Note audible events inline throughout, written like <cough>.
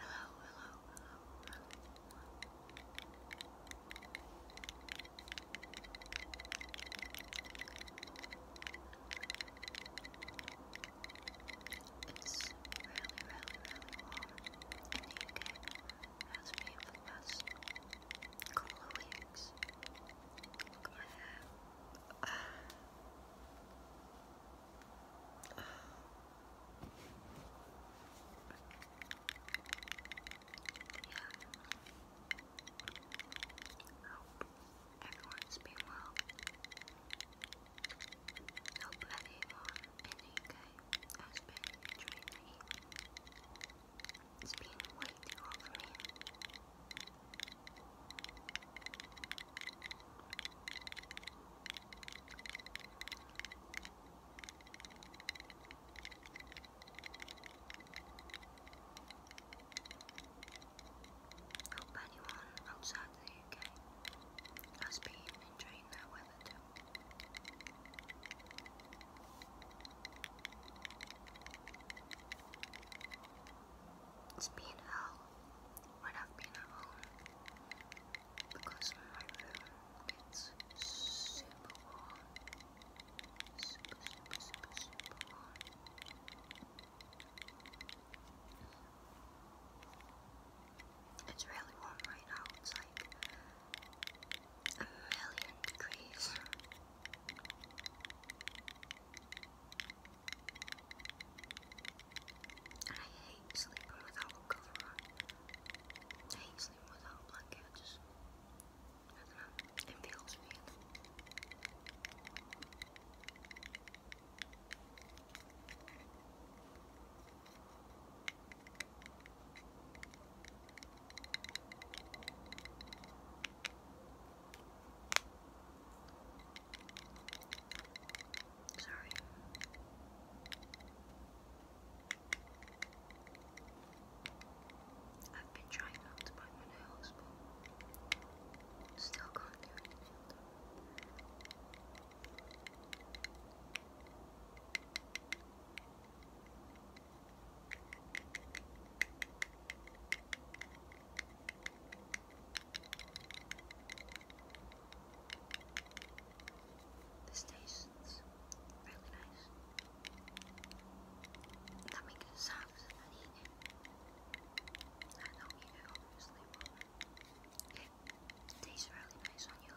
hello, hello, hello. It's really, really, really warm in the UK has me for the last couple weeks. Yeah. Hope everyone's been well. Hope anyone in the UK has been enjoying it's been waiting over him. Hope anyone outside the UK has been enjoying their weather too. It's been hell when i because my room gets super warm. Super, super, super, super warm. It's really warm right now. It's like a million degrees. And I hate sleeping without a cover I hate sleeping without a I don't know, it feels weird. Sorry. I've been trying not to bite my nails, still can't do anything. The station's really nice. That makes it sound as if I I don't eat it, tastes really nice on your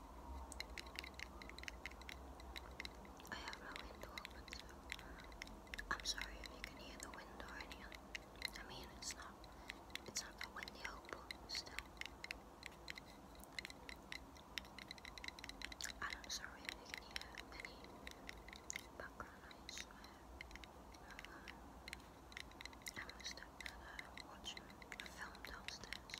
I have no window open, I'm sorry if you can hear the wind or anything. I mean, it's not, it's not that windy out, still. I'm sorry if you can hear any background noise. I'm a watching a film downstairs.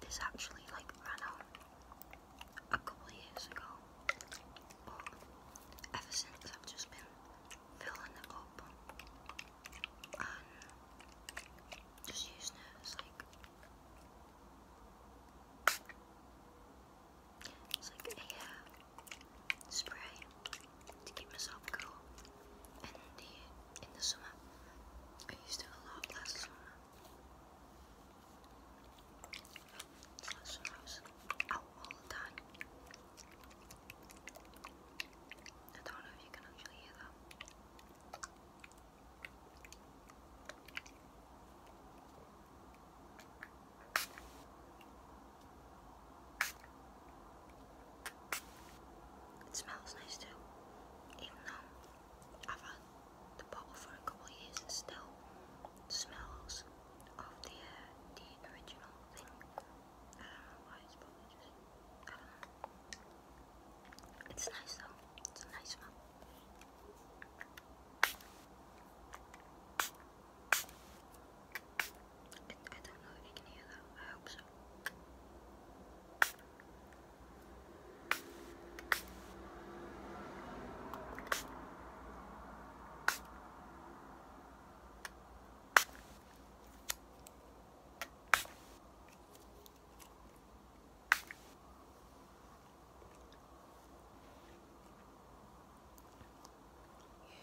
This actually like ran out a couple years ago, but ever since I've just been filling it up and just using it as like it's uh, spray to keep myself cool in the summer. I used it a lot last summer. Last summer I all the I don't know if you can actually hear that. It smells nice too, even though I've had the bottle for a couple years, it still smells of the uh, the original thing. I don't know why it's probably just I don't know. It's nice though. It's a nice smell. I don't know if you can hear that. I hope so.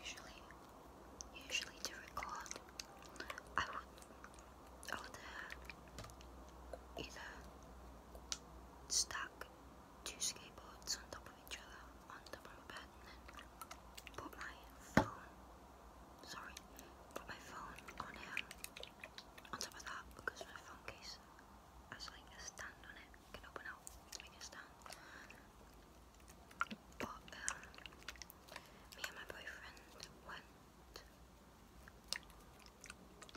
Usually, usually to record, I would or they either stack two skateboards on top of each other on top of my bed and then put my phone sorry put my phone on here on top of that because my phone case has like a stand on it can open out make a stand but um, me and my boyfriend went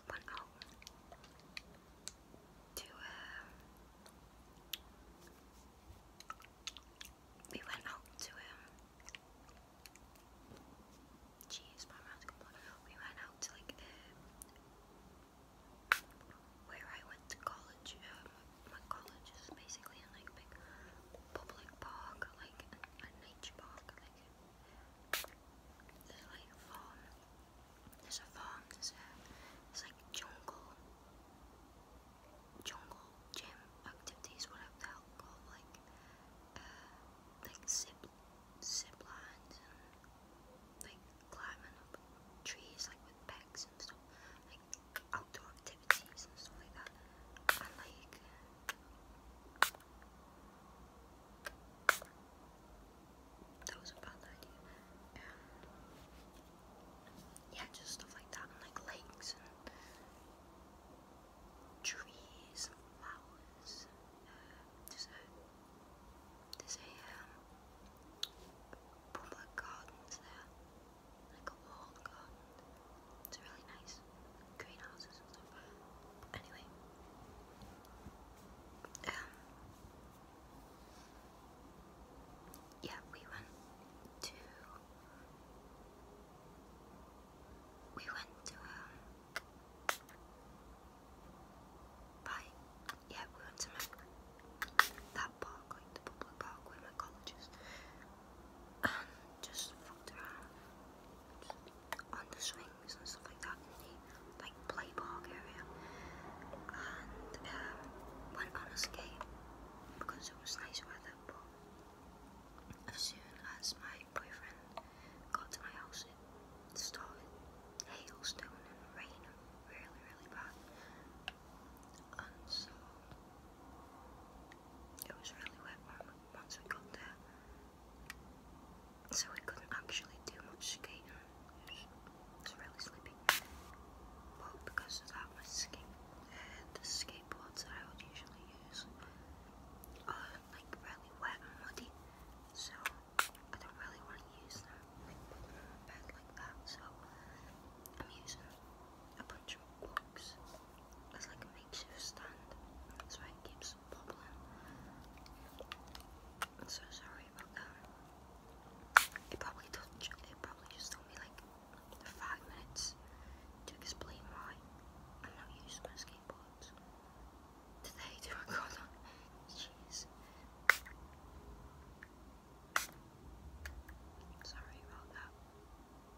one hour to um, we went out to um jeez my mouth we went out to like the um, where I went to college um, my college is basically in like big public park, like a nature park, like there's like a farm, there's a farm, there's a, there's like jungle, jungle gym activities, whatever the hell called, like, uh, like zip, zip lines and like climbing up trees, like with pegs and stuff, like outdoor activities activities stuff like that. And like that was a bad idea. yeah, just stuff like that, and like lakes and trees flowers. there's a public gardens there like a walled It's really nice. Greenhouses and stuff. Anyway. Um, yeah, we went to we went to um Yeah, we went to that park, like the public park where my college and um, just fucked around on the swings and stuff like that in the like play park area and um, went on a skate because it was nice weather but as soon as my boyfriend got to my house it started hailstone and rain really really bad and so it was really wet once we got there, so we couldn't actually do much skating. It really sleepy. But because of that, my ski, uh, the skateboards I would usually use are like really wet and muddy, so I don't really want to use them, like that. So I'm using a bunch of it I'm so probably took it probably just took me like five minutes to explain why I'm not using my skateboards. Today to record on jeez. Sorry about that.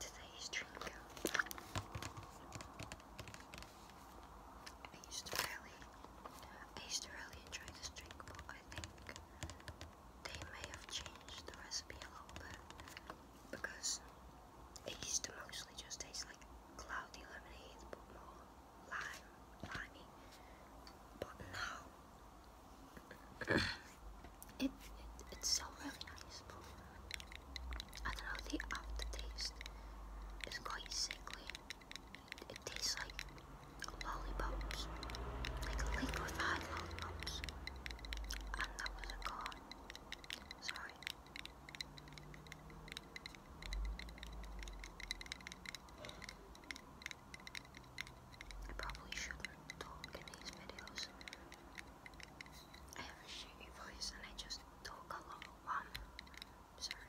Today's drink. I used to really, I used to really enjoy this drink, but they may have changed the recipe a little bit because it used to mostly just taste like cloudy lemonade but more lime, limey. But now it, it's so really nice I don't know the aftertaste is quite sickly. It tastes like lollipops, like liquefied lollipops. And that was a con. Sorry. I probably shouldn't talk in these videos. I have a shitty voice and I just talk a lot. Um, sorry.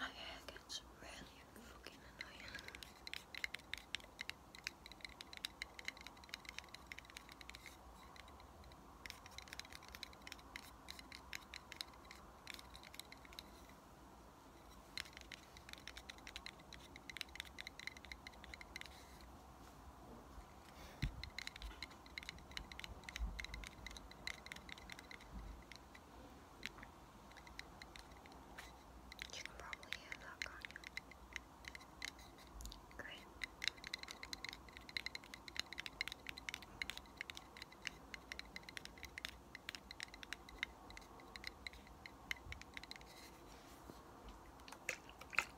My hair gets really fucking annoying. You can probably hear that, can't you? Great.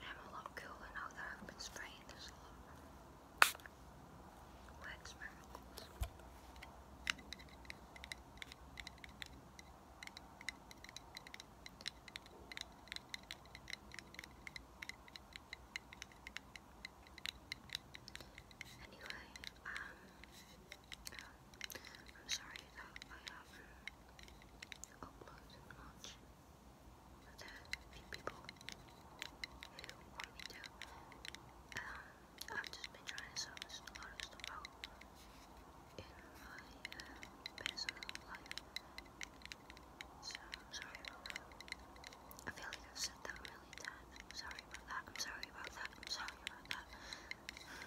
I'm a lot cooler now that I've been spraying this a lot. Anyway, um, I'm sorry that I haven't uploaded much the big people who want me to. Um, I've just been trying to solve a lot of stuff in my uh, personal life. So sorry I feel like I've said that a million times. sorry about that. I'm sorry about that. sorry about that. <sighs> Sorry guys.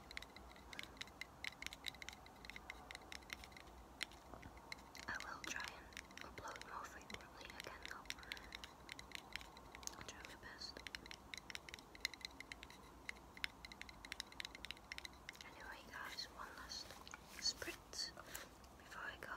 I will try and upload more frequently again though. I'll try my best. Anyway guys, one last sprint before I go.